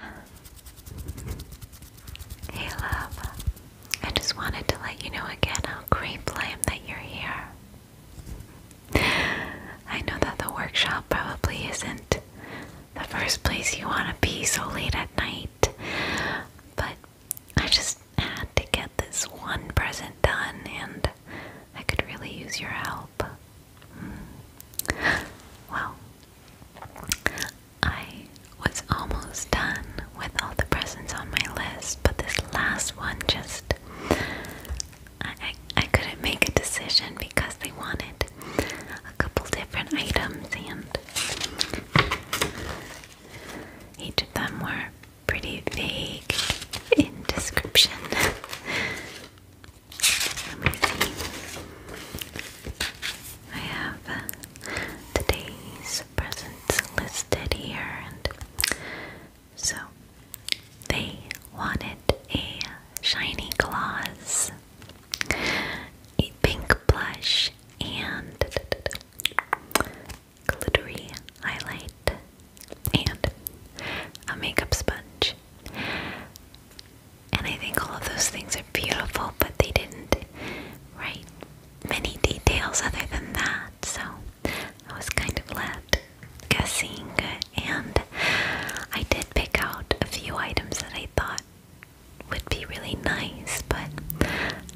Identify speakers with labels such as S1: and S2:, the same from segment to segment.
S1: Hey love, I just wanted to let you know again how grateful I am that you're here. I know that the workshop probably isn't the first place you want to be so late at night, but I just had to get this one present done and I could really use your help. Hmm. Well, I was almost done with all the presents on my list, but this last one just I, couldn't make a decision because they wanted a couple different items and each of them were pretty vague in description. I have uh, today's presents listed here, and so they wanted a shiny gloss, a pink blush, and glittery highlight, and a makeup sponge. And I think all of those things are beautiful, but they didn't write many details other than that. So I was kind of left guessing, and I did pick out a few items that I thought would be really nice, but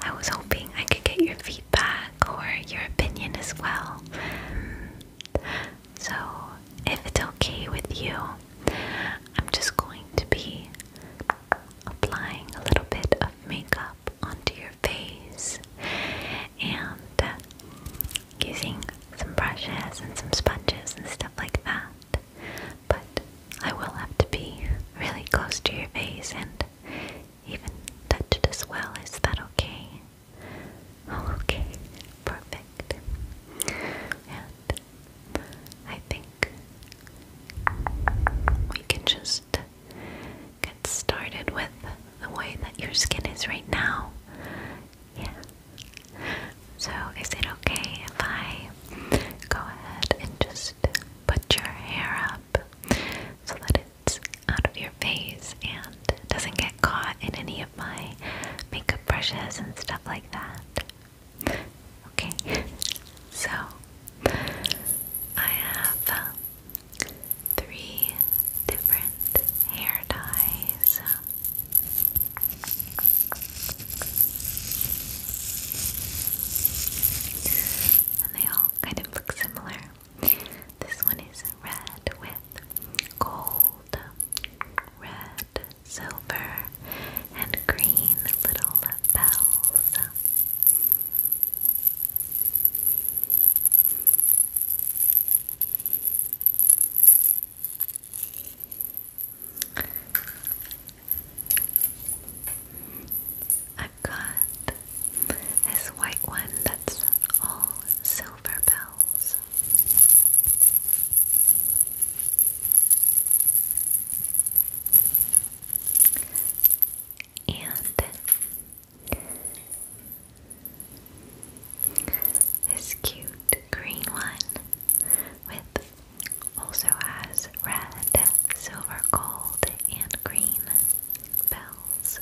S1: I was hoping I could get your feedback or your opinion as well. So, if it's okay with you, I'm just going to be applying a little bit of makeup onto your face and uh, using some brushes and some sponges and stuff like that. But I will have to be really close to your face and even touch it as well. Is that okay? Oh, okay. Perfect. And I think we can just get started with the way that your skin is right now. Yeah. So, is it okay if I go ahead and just put your hair up so that it's out of your face and doesn't get caught in any of my makeup brushes and stuff like that? Okay, so I have um, three different hair dyes. And they all kind of look similar. This one is red with gold, red silver, and green little bells. I've got this white one that's all silver bells. And this cute green one with also has red, silver, gold, and green bells.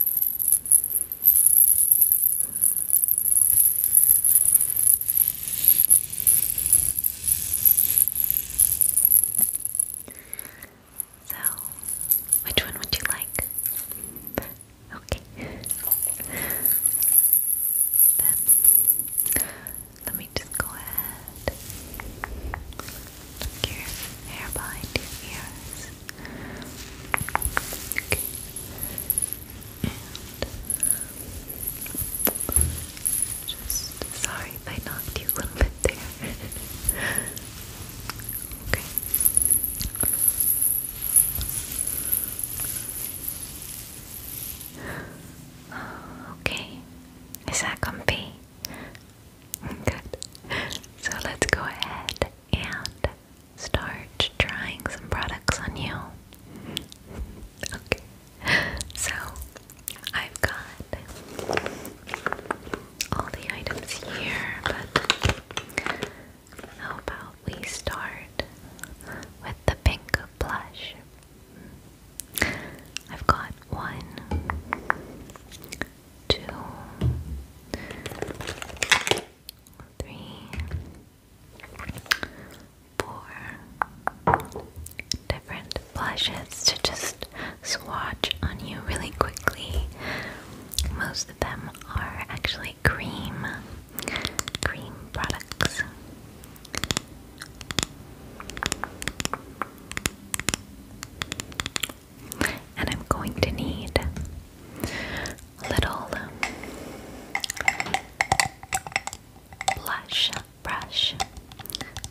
S1: So, which one would you like? Okay. Then, let me just go ahead. Look your hair behind your ears. Okay. And just sorry if I knocked you a little bit there. okay. Okay. Is that comfy? Good. So let's go ahead and start trying some products on you. Okay. So I've got all the items here, but how about we start with the pink blush? I've got one, two, three, four different blushes to just swatch on you really quickly. Most of them are actually cream, cream products. And I'm going to need a little blush brush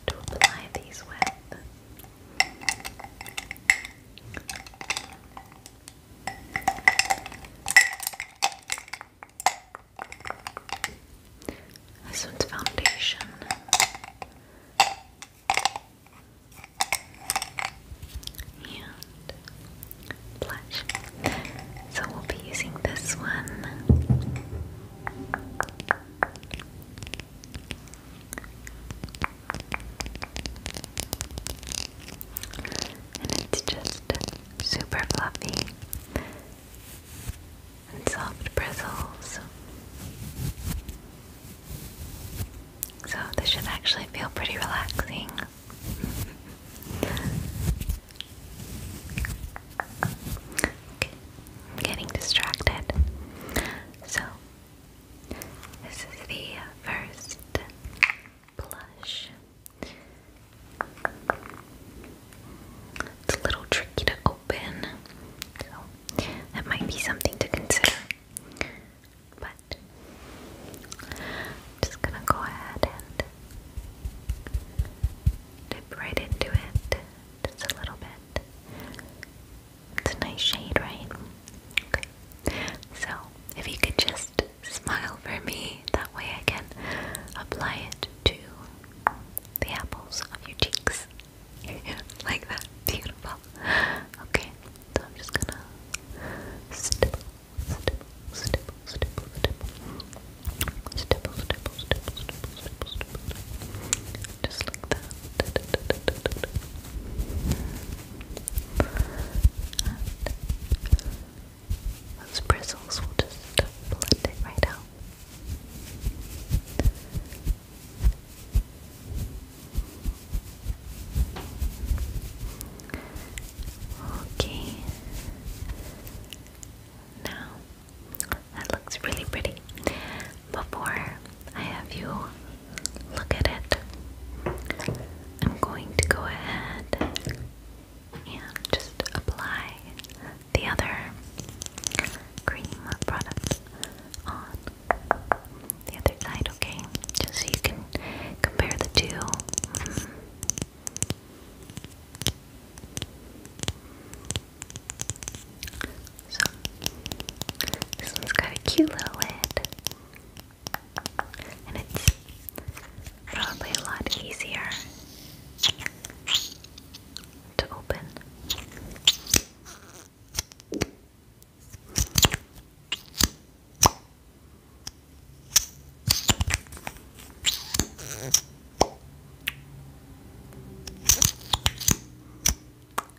S1: to apply these with. This one's foundation. And blush. So we'll be using this one. And it's just super fluffy and soft bristles. So this should actually feel pretty relaxing. I'm getting distracted. So, this is the first blush. It's a little tricky to open, so that might be something to consider. But just gonna go ahead and Dip right into it, just a little bit. It's a nice shade, right? Okay. So, if you could just smile for me, that way I can apply it to the apples of your cheeks. like that. Beautiful. Okay, so I'm just gonna stipple, stipple, stipple, stipple, stipple, stipple, just like that. those bristles will just blend it right out. Okay. Now that looks really pretty. Before I have you look at it, I'm going to go ahead and just apply the other cream product on the other side, okay? Just so you can compare the two. So, this one's got a cute little lid. And it's probably a lot easier to open.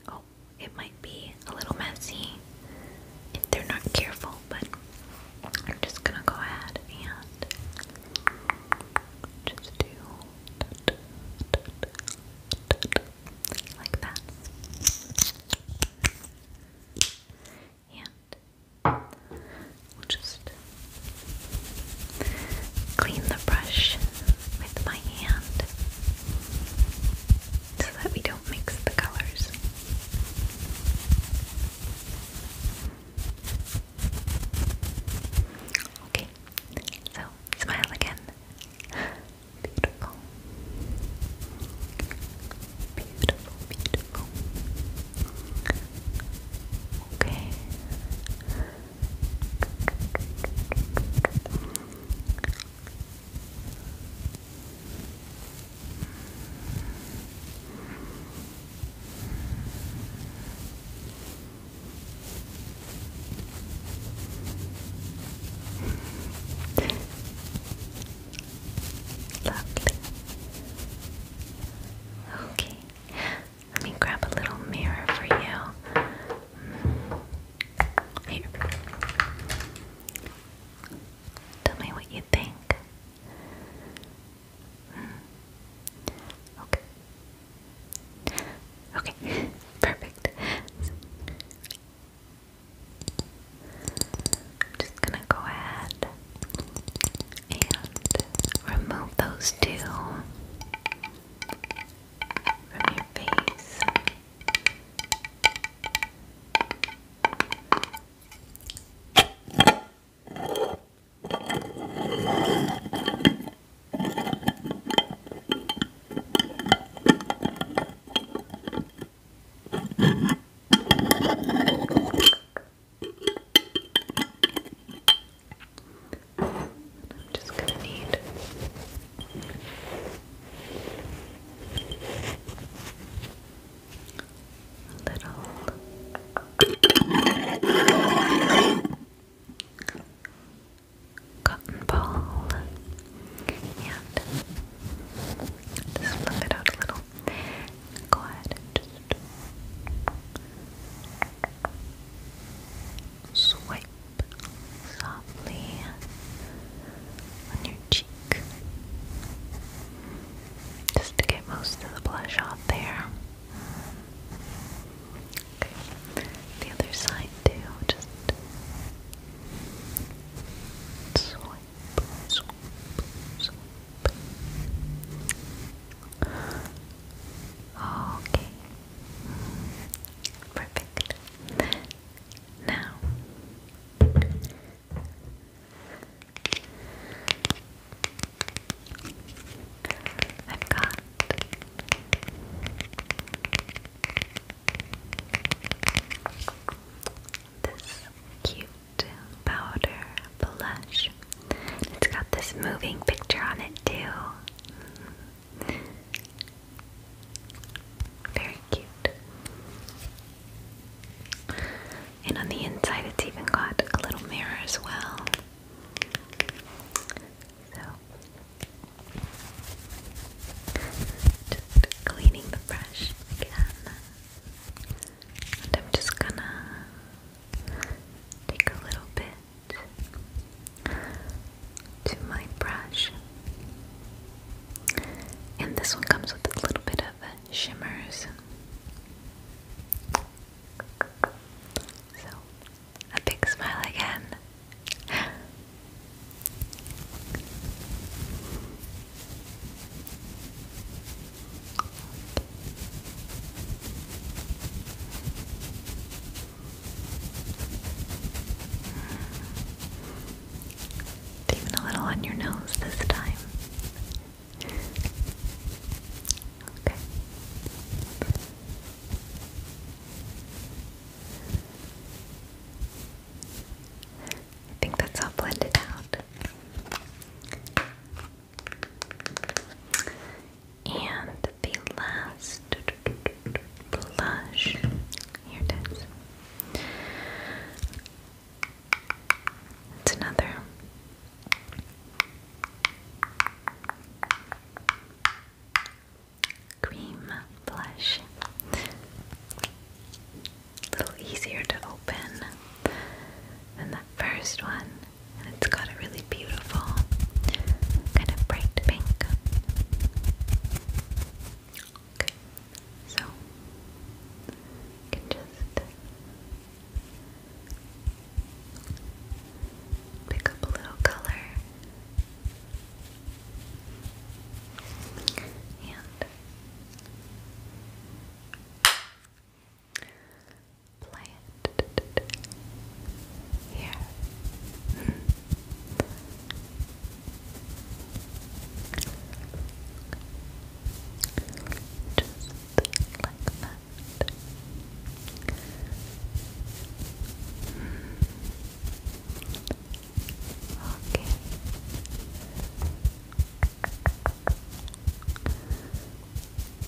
S1: Oh, it might be a little messy if they're not careful, but I'm just gonna go ahead and just do like that. And We'll just clean the brush with my hand so that we don't mix the colors. Okay, so smile again. Beautiful. Beautiful, beautiful. Okay. Lovely. Okay. Let me grab a little mirror for you. Mm. Here. Tell me what you think. Mm. Okay. Okay. Perfect. I'm just gonna go ahead and remove those two from your face. And i just gonna need a little cotton ball and just flip it out a little. Go ahead just Swipe softly on your cheek just to get most of the blush off there. Okay. The other side too, just swipe, swipe, swipe. Okay. Perfect. Now I've got this cute powder blush it's got this moving picture on it, too. Very cute. And on the inside, it's even got a little mirror as well. So, just cleaning the brush again. I'm just gonna take a little bit to my brush. And this one comes with a little bit of shimmers. So, a big smile again even a little on your nose this time. Okay. I think that's all blended out. And the last blush, here it is. It's another cream blush. A little easier to open than that first one and it's got a really beautiful kind of bright pink. so can just pick up a little color and Play it here. Just like that. Hmm. Okay.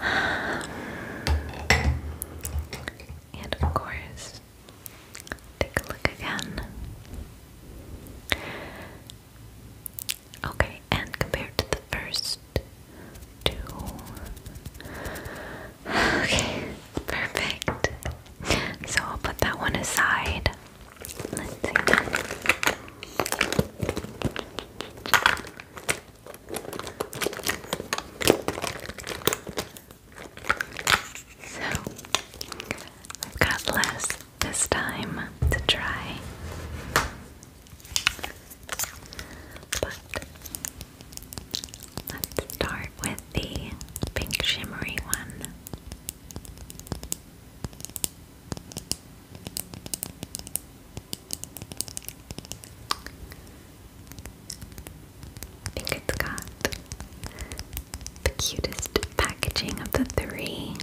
S1: And of course, take a look again. Okay, and compared to the first two. Okay, perfect. So I'll put that one aside. So I've got less this time to try, but let's start with the pink shimmery one it got the cutest packaging of the three.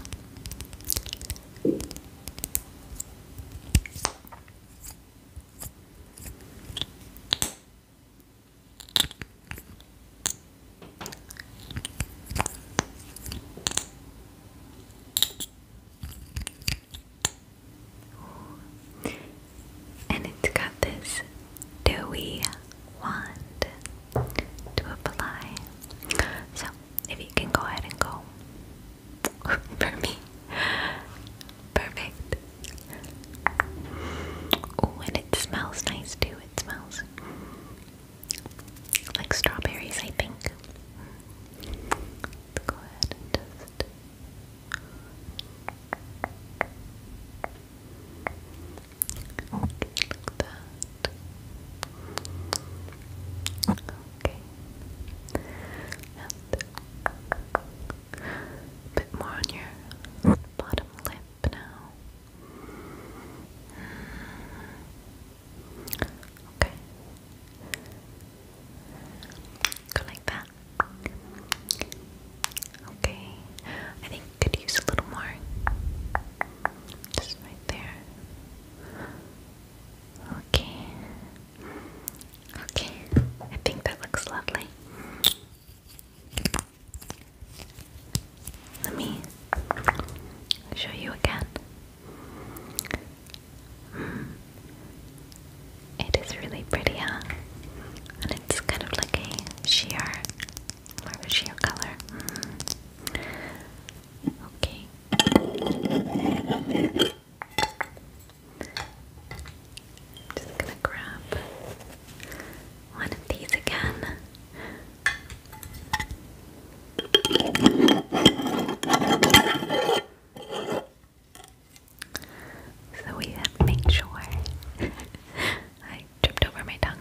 S1: And it's got this dewy wand to apply. So, if you can go ahead and go for me. Perfect. Oh, and it smells nice too. It smells like strawberries, I think. Let's go ahead just okay, Okay, a bit more on your bottom lip now. Hmm. Okay, Go like that. Okay. I think we could use a little more. Just right there. Okay. Okay. I think that looks lovely. Let me show you again. It is really pretty, huh? And it's kind of like a sheer, more of a sheer color. Okay. Just gonna grab one of these again. So we make sure I tripped over my tongue.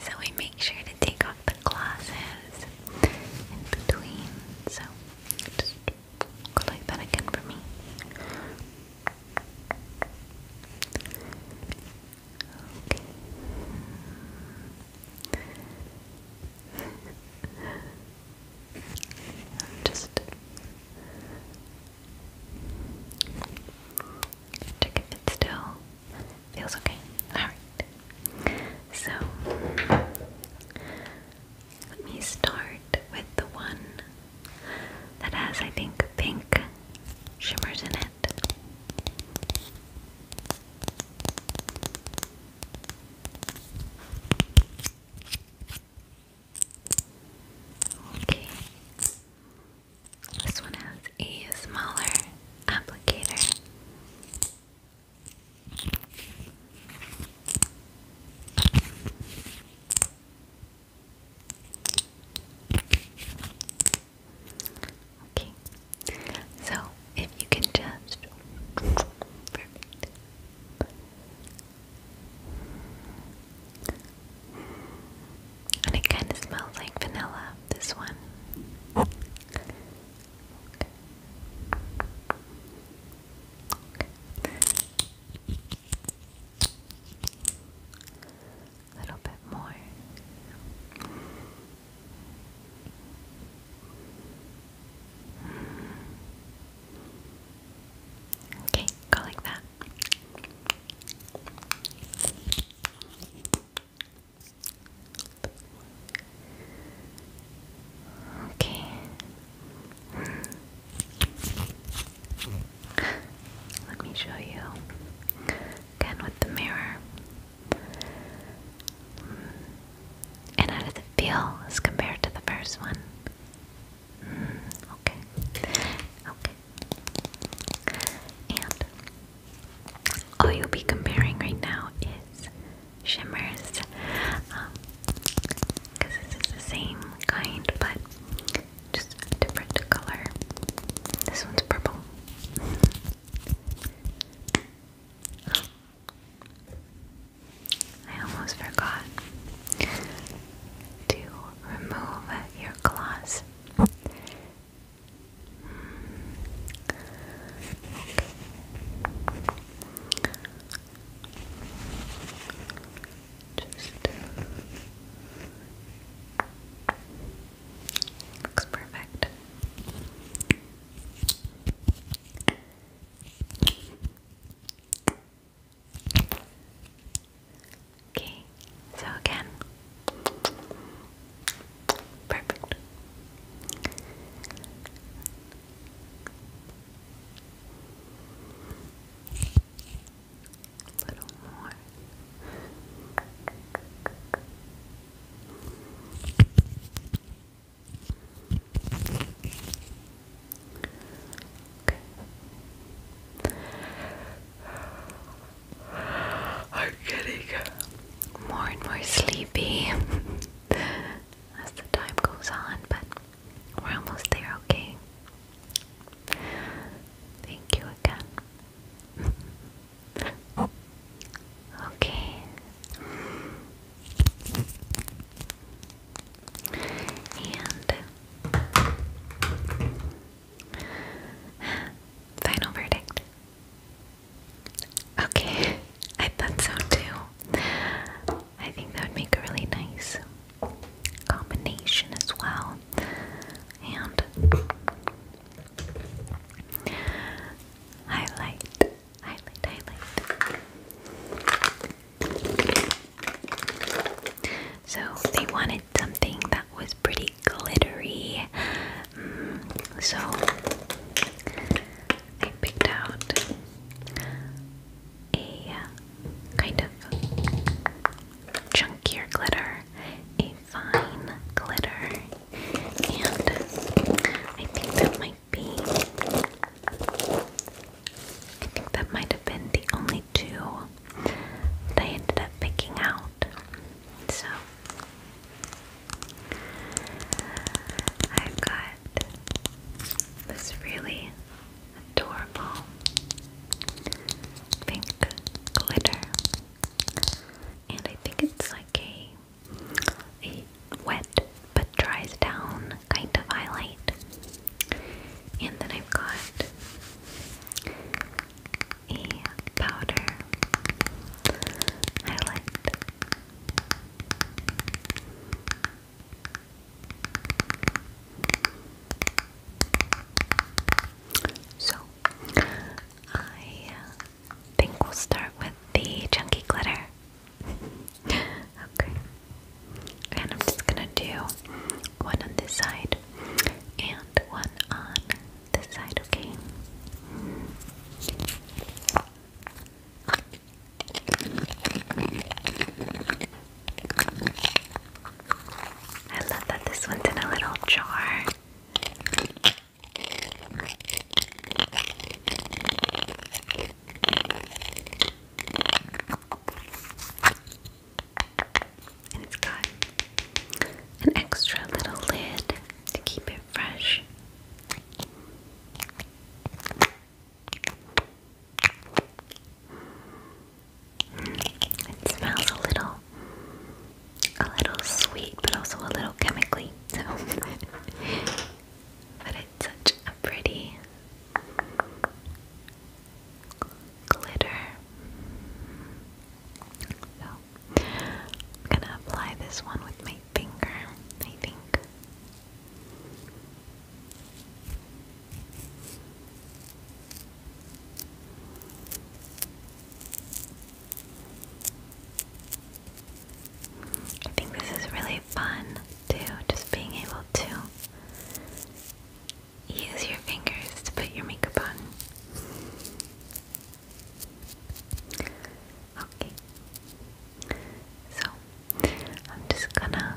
S1: So we make sure to take off the glasses in between. So go like that again for me. Okay. just check if it still feels okay. Alright. So let me start with the one that has I think pink shimmers in it. Okay. This one has a smaller applicator. Okay, so if you can just And it kind of smells like vanilla, this one. A little bit more. Okay, go like that. Okay. Let me show you again with the mirror. And how does it feel as compared to the first one? Hmm, okay. Okay. And all you'll be comparing right now is shimmers. Because um, this is the same kind, but just a different color. This one's purple. I almost forgot to remove your claws. looks perfect. Okay, so again. Perfect. A little more. I'm getting more and more sleepy as the time goes on, but we're almost there, okay? Thank you again. okay final verdict. Okay, I thought so too. I think that would make a really nice combination as well. And highlight highlight, highlight. So they wanted something that was pretty glittery. Mm, so I picked out a uh, kind of chunkier glitter, a fine glitter, and I think that might be. I think that might have been the only two that I ended up picking out. So I've got this really adorable pink glitter. And I think it's like a a wet but dries down kind of highlight. And then I've got a powder highlight. So, I think we'll start with the chunky glitter. Okay. And I'm just gonna do one on this side and one on this side, okay? I love that this one's in a little jar. Okay it's got an extra little lid to keep it fresh. It smells a little a little sweet but also a little chemically but it's such a pretty glitter. So I'm gonna apply this one with my finger, I think. I think this is really fun too, just being able to use your fingers to put your makeup on. Okay. So, I'm just gonna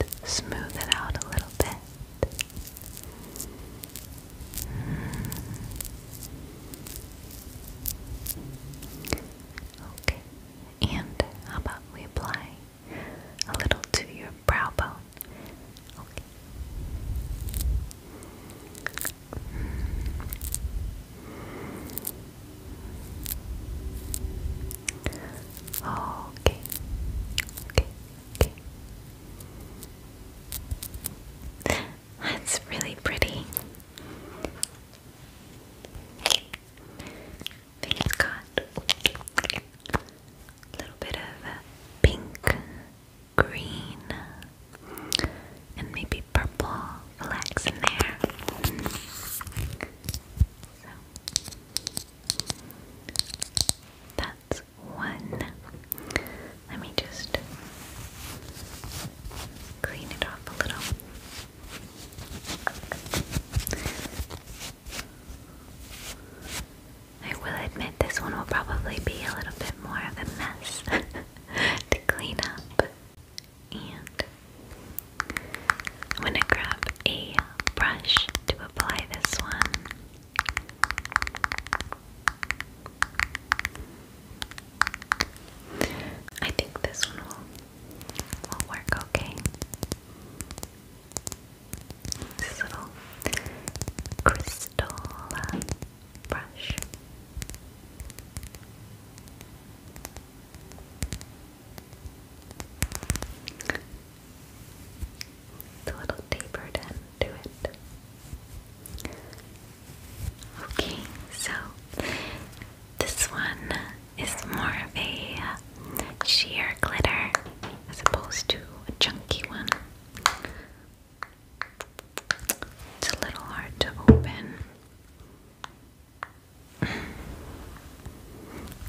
S1: and smooth it out a little bit. Okay, and how about we apply a little to your brow bone? Okay. Okay. Okay. That's really pretty. I think got a little bit of pink green, and maybe purple. Relax in there. that's one. Let me just clean it off a little. I will admit this one will probably be a little bit more of a mess to clean up. And I'm going to grab a brush to apply this one. I think this one will, will work okay. This little crystal uh, brush. It's little tapered end to it. Okay, so this one is more of a uh, sheer glitter as opposed to a chunky one. It's a little hard to open.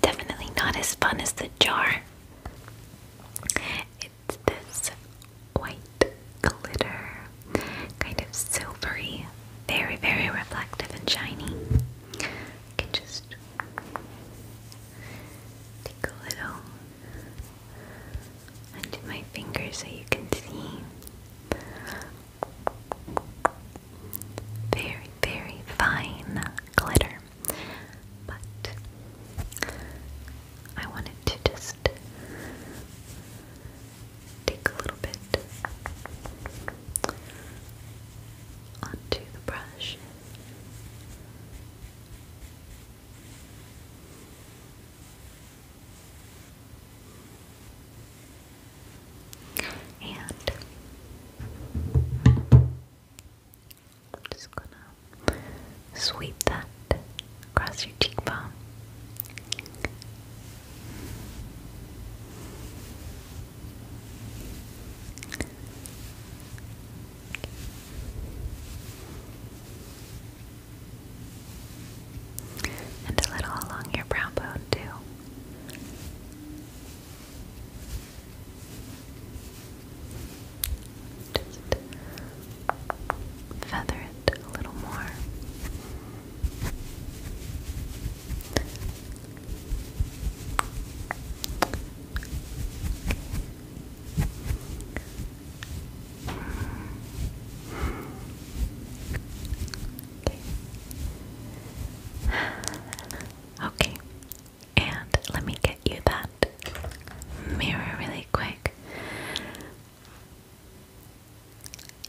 S1: Definitely not as fun as the jar. It's this white glitter, kind of silvery, very, very reflective and shiny. can just take a little onto my fingers, so you can see. Very, very fine glitter. But I wanted to just take a little bit onto the brush and I'm just gonna sweep that across your cheekbone. And a little along your brow bone, too. feather it a little more. Okay. And let me get you that mirror really quick.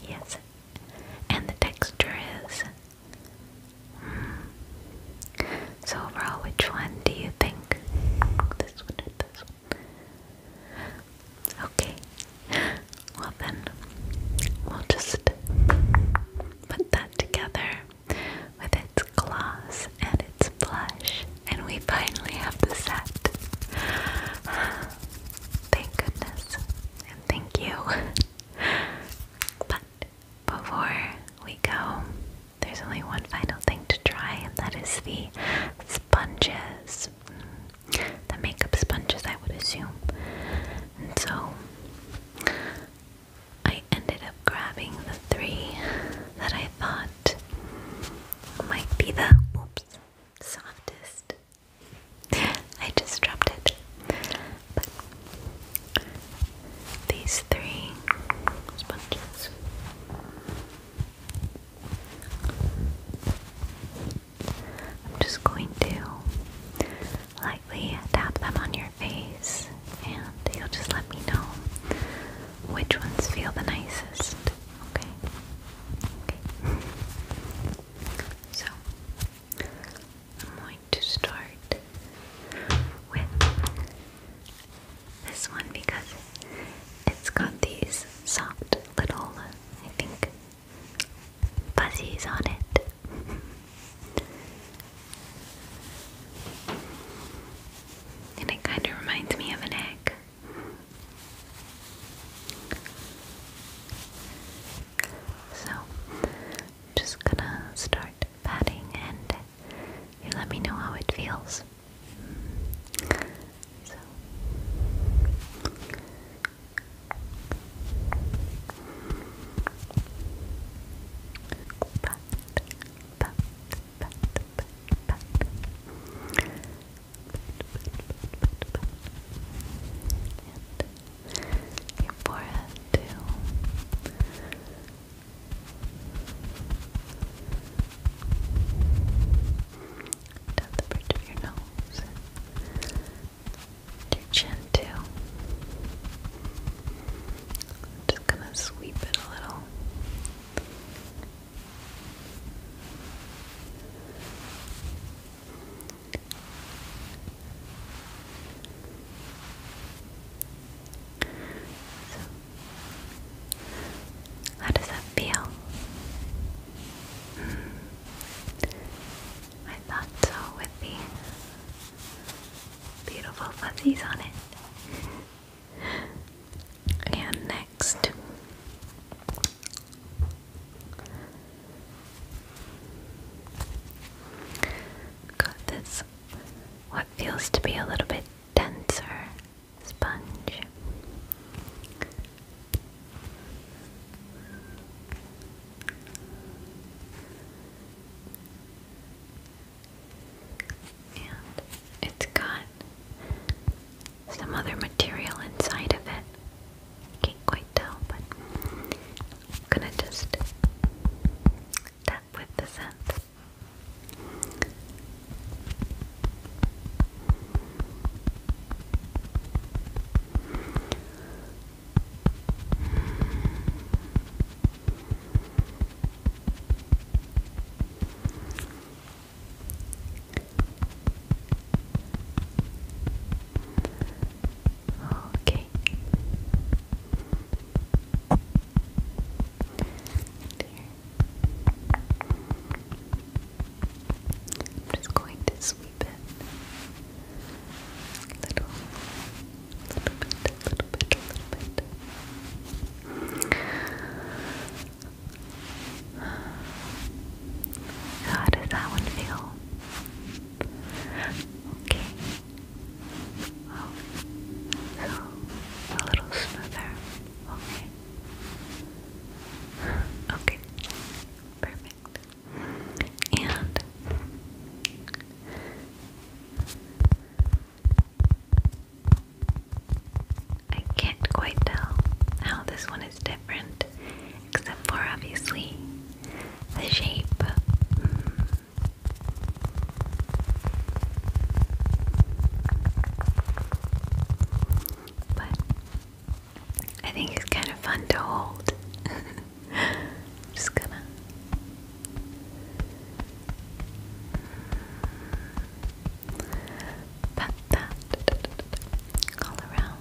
S1: Yes. And the texture is. So overall, which one do you think? This one or this one? Okay. Well then, we'll just put that together with its gloss and its blush, and we finally have the set. Thank goodness, and thank you. but before we go, there's only one final thing to try, and that is the sponges. Mm, the makeup sponges, I would assume. And so I ended up grabbing the three that I thought might be the softest. I just dropped it. But these three sponges. I'm just going to lightly tap them on your face, and you'll just let me know which ones feel the nicest. Okay. So I'm going to start with this one because it's got these soft little, I think, fuzzies on it. and it kind of reminds me of an egg. So, just gonna start patting and you let me know how it feels. So. your forehead too. Down the bridge of your nose. Your chin too. Just gonna sweep it a little. So how does that feel? Hmm. I thought so with the beautiful fuzzies on it. And next. Got this, what feels to be a little bit denser sponge. And it's got some other material inside of it. Can't quite tell, but I'm gonna just tap with the scent. Okay. There I'm just going to sweep it. Little, little bit, little bit, little bit. How does that one feel? Okay. Oh, a little smoother. Okay. Okay. Perfect. And I can't quite tell how this one is different, except for obviously the shape. But I think it's kind of fun to hold. Just gonna. Pat that all around.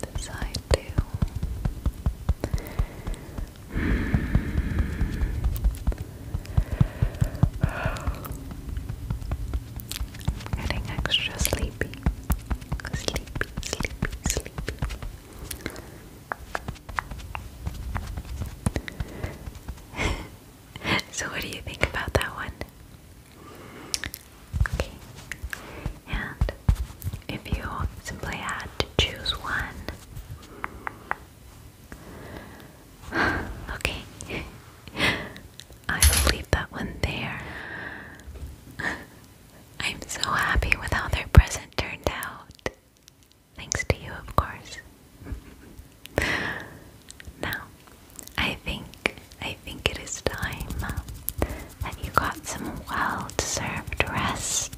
S1: The side too. Getting extra sleepy. Sleepy, sleepy, sleepy. so, what do you think about that one? Okay. And if you simply had to choose one, okay, I will leave that one there. I'm so happy with how their present turned out. Thanks to you, of course. now, I think I think it is time that you got some well-deserved rest.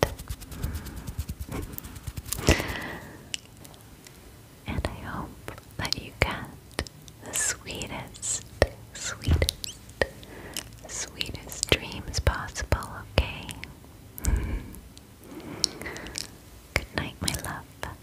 S1: and I hope that you get the sweetest, sweetest, sweetest dreams possible, okay? Good night, my love.